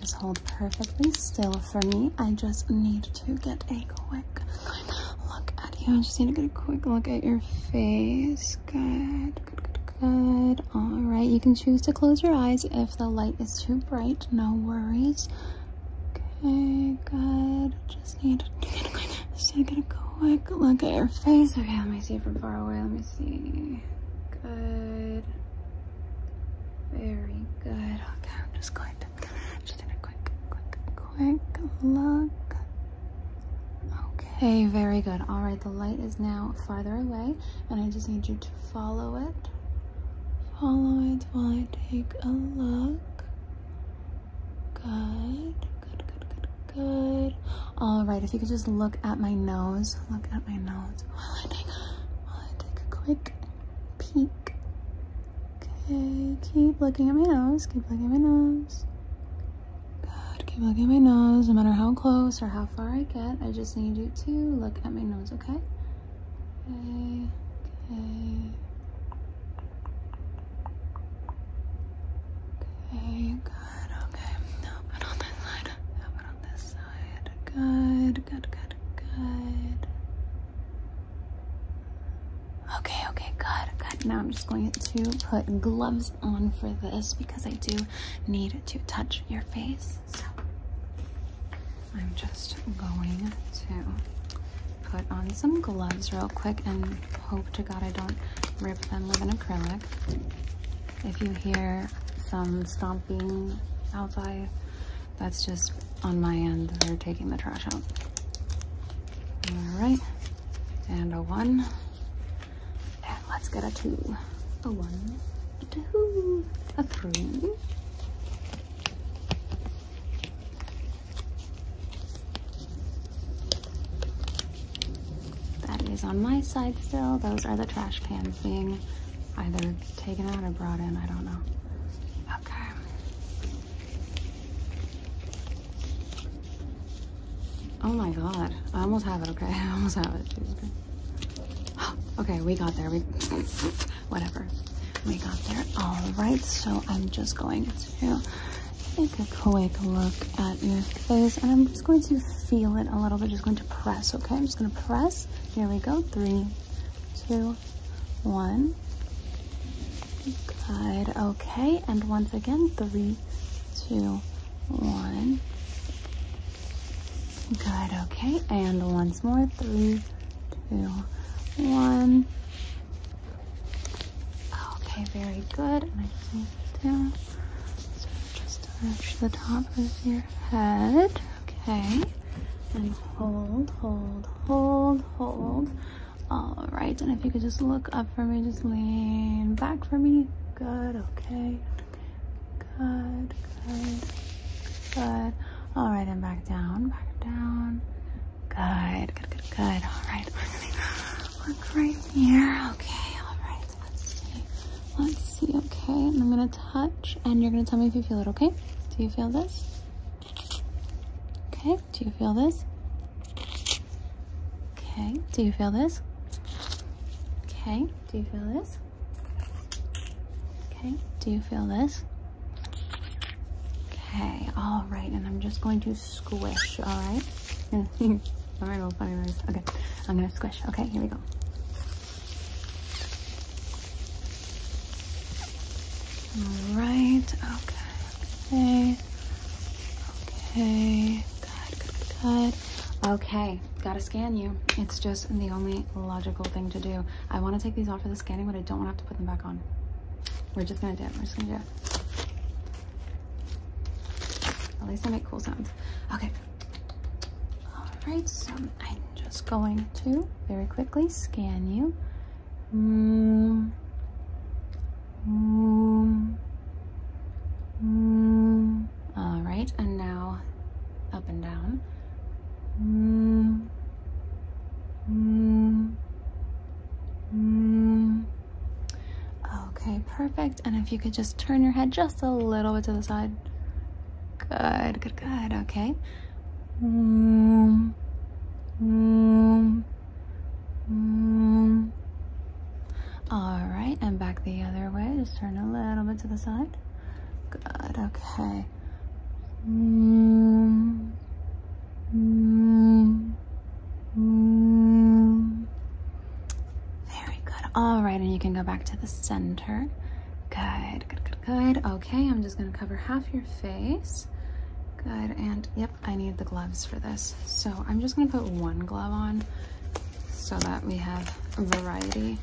Just hold perfectly still for me. I just need to get a quick look at you. I just need to get a quick look at your face. Good, good, good, All right, you can choose to close your eyes if the light is too bright. No worries. Okay, good. Just need to get a quick, just need to get a quick look at your face. Okay, let me see from far away. Let me see. Good. Very good. Okay, I'm just going to just in a quick, quick, quick look. Okay, very good. All right, the light is now farther away, and I just need you to follow it. Follow it while I take a look. Good, good, good, good, good. All right, if you could just look at my nose, look at my nose while I take, while I take a quick Peek. Okay, keep looking at my nose. Keep looking at my nose. God, Keep looking at my nose. No matter how close or how far I get, I just need you to look at my nose, okay? Okay. Okay. good. Okay. Now put on this side. Now put on this side. Good, good, good, good, good. Okay, okay, good, good. Now I'm just going to put gloves on for this because I do need to touch your face. So I'm just going to put on some gloves real quick and hope to God I don't rip them with an acrylic. If you hear some stomping outside, that's just on my end. They're taking the trash out. All right. And a one. And let's get a two. A one, a two, a three. That is on my side still. Those are the trash cans being either taken out or brought in, I don't know. Okay. Oh my God, I almost have it, okay? I almost have it, Okay, we got there, we, whatever. We got there, all right, so I'm just going to take a quick look at your face and I'm just going to feel it a little bit, just going to press, okay? I'm just gonna press, here we go, three, two, one. Good. Okay. And once again, three, two, one. Good. Okay. And once more, three, two, one. Okay. Very good. And I just need to So just touch the top of your head. Okay. And hold, hold, hold, hold. All right. And if you could just look up for me, just lean back for me. Good. Okay. Good, good, good. All right. And back down, back down. Good, good, good, good. All right. look right here. Okay. All right. Let's see. Let's see. Okay. And I'm gonna touch and you're going to tell me if you feel it, okay? Do you feel this? Okay, do you feel this? Okay, do you feel this? Okay, do you feel this? Okay, do you feel this? Okay, all right, and I'm just going to squish, all right? all right, little funny noise. Okay, I'm gonna squish. Okay, here we go. All right, okay, okay, okay, Okay, gotta scan you. It's just the only logical thing to do. I wanna take these off for the scanning, but I don't wanna have to put them back on. We're just gonna do it, we're just gonna do it. At least I make cool sounds. Okay. All right, so I just going to very quickly scan you. All right, and now up and down. Okay, perfect. And if you could just turn your head just a little bit to the side. Good, good, good. Okay. Om, om, om. All right, and back the other way. Just turn a little bit to the side. Good, okay. Om, om, om. Very good. All right, and you can go back to the center. Good, good, good, good. Okay, I'm just gonna cover half your face. Good, and yep, I need the gloves for this. So I'm just gonna put one glove on so that we have variety.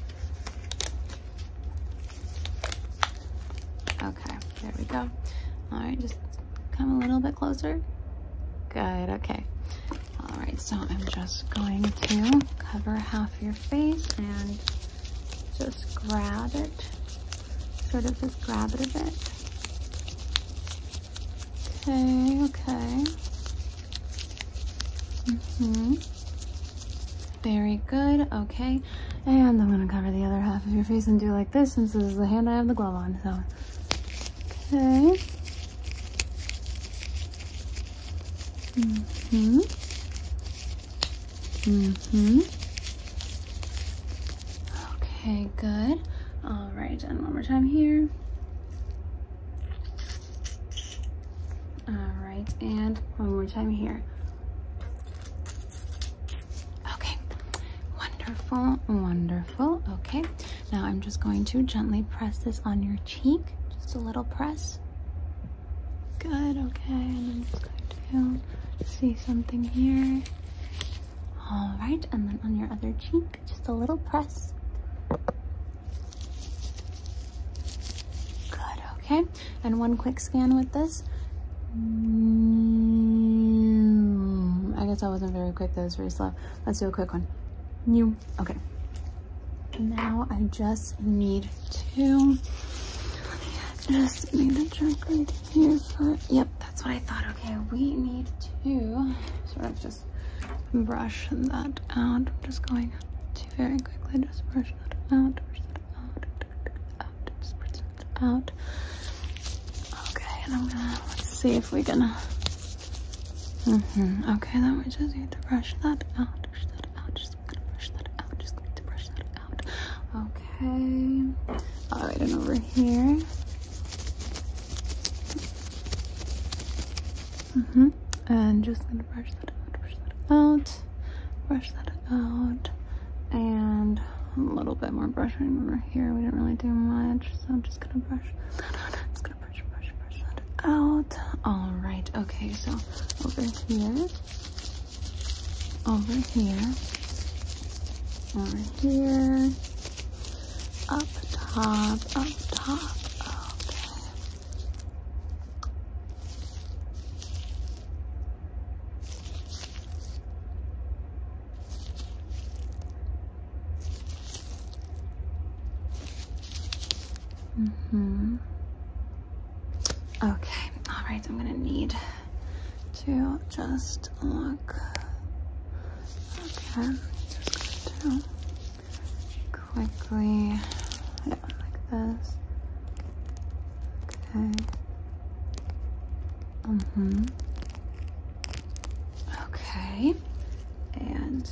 Okay, there we go. All right, just come a little bit closer. Good, okay. All right, so I'm just going to cover half your face and just grab it, sort of just grab it a bit. Okay, okay. Mm-hmm. Very good, okay. And I'm gonna cover the other half of your face and do like this since this is the hand I have the glove on, so. Okay. hmm hmm Okay, good. All right, and one more time here. All right, and one more time here. Okay, wonderful, wonderful. Okay, now I'm just going to gently press this on your cheek. Just a little press. Good, okay, and I'm just going to see something here. All right, and then on your other cheek, just a little press. Good, okay, and one quick scan with this. I guess I wasn't very quick, that was very slow. Let's do a quick one. New, okay. Now I just need to just need a chunk right here for, yep, that's what I thought. Okay, we need to sort of just brush that out. I'm just going to very quickly just brush that out, brush that out, out, just brush that out. Okay, and I'm gonna, let's see if we can, mm -hmm. okay, then we just need to brush that out, brush that out, just gonna brush that out. Okay. All right, and over here. -hmm. And just gonna brush that out, brush that out, and a little bit more brushing over here. We didn't really do much, so I'm just gonna brush Just gonna brush, brush, brush that out. All right. Okay. So over here over here, over here, up top, up top. Okay. Mm hmm Okay, all right, I'm gonna need to just look. Okay, quickly, yeah, like this. Okay. Mm-hmm. Okay, and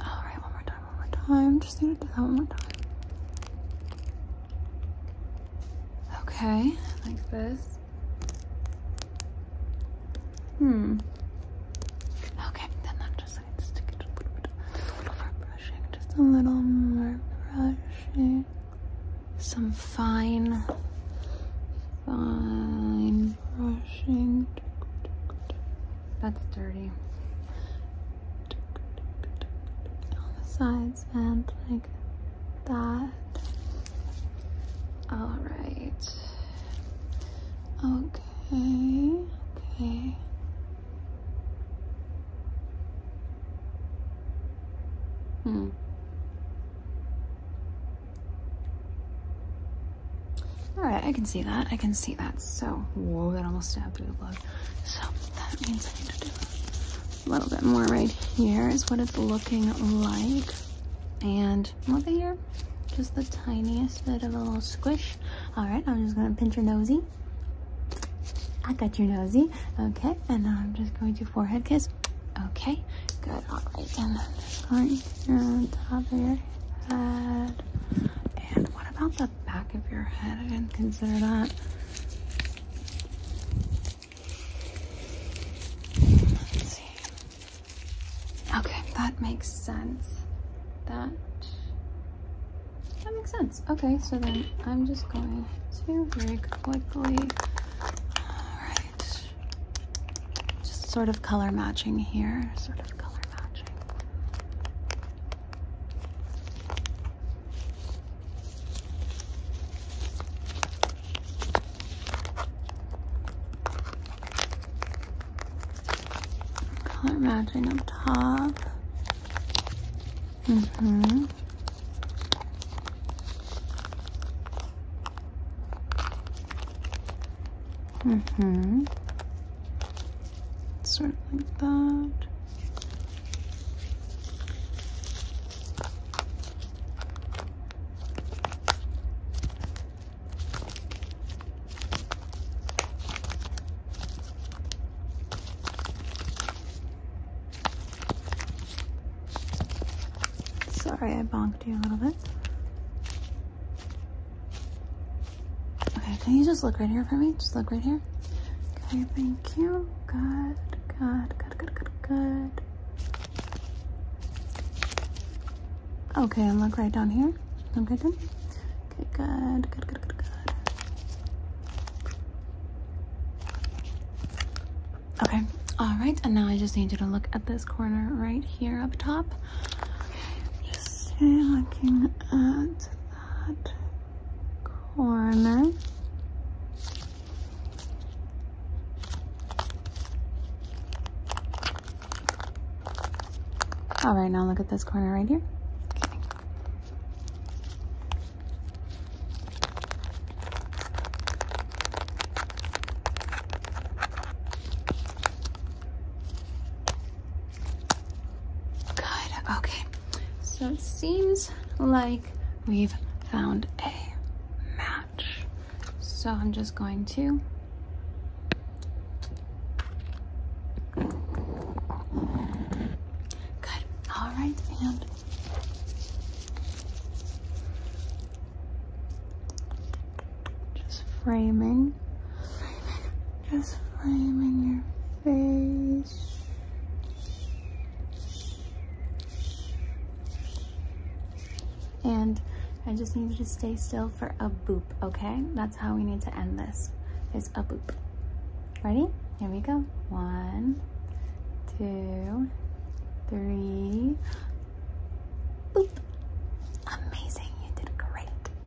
all right, one more time, one more time. Just need to do that one more time. Okay, like this. Hmm. Okay, then that just needs to stick get a little bit, a little more brushing, just a little more brushing. Some fine, fine brushing. That's dirty. On the sides and like that. Alright. Okay. Okay. Hmm. All right, I can see that. I can see that. So, whoa, that almost stabbed through the glove. So that means I need to do a little bit more right here is what it's looking like. And over here, just the tiniest bit of a little squish. All right, I'm just gonna pinch your nosy. I got your nosy. Okay, and I'm just going to forehead kiss. Okay, good. All right, and then just going on top of your head. And what about the back of your head? I didn't consider that. Let's Okay, that makes sense. That that makes sense. Okay, so then I'm just going to very quickly. All right, just sort of color matching here. Sort of color matching. Color matching up top. Mm-hmm. Mm-hmm. Sort like that. Sorry I bonked you a little bit. Okay, can you just look right here for me? Just look right here. Okay, thank you. Good, good, good, good, good, good. Okay, and look right down here. Look right down. Okay, good, good, good, good, good. Okay, all right, and now I just need you to look at this corner right here up top. Just stay looking at that corner. All right, now look at this corner right here. Good, okay. So it seems like we've found a match. So I'm just going to Good. All right, and just framing, framing just framing your face. And I just need you to stay still for a boop, okay? That's how we need to end this, It's a boop. Ready? Here we go. One, two, three, boop. Amazing, you did great.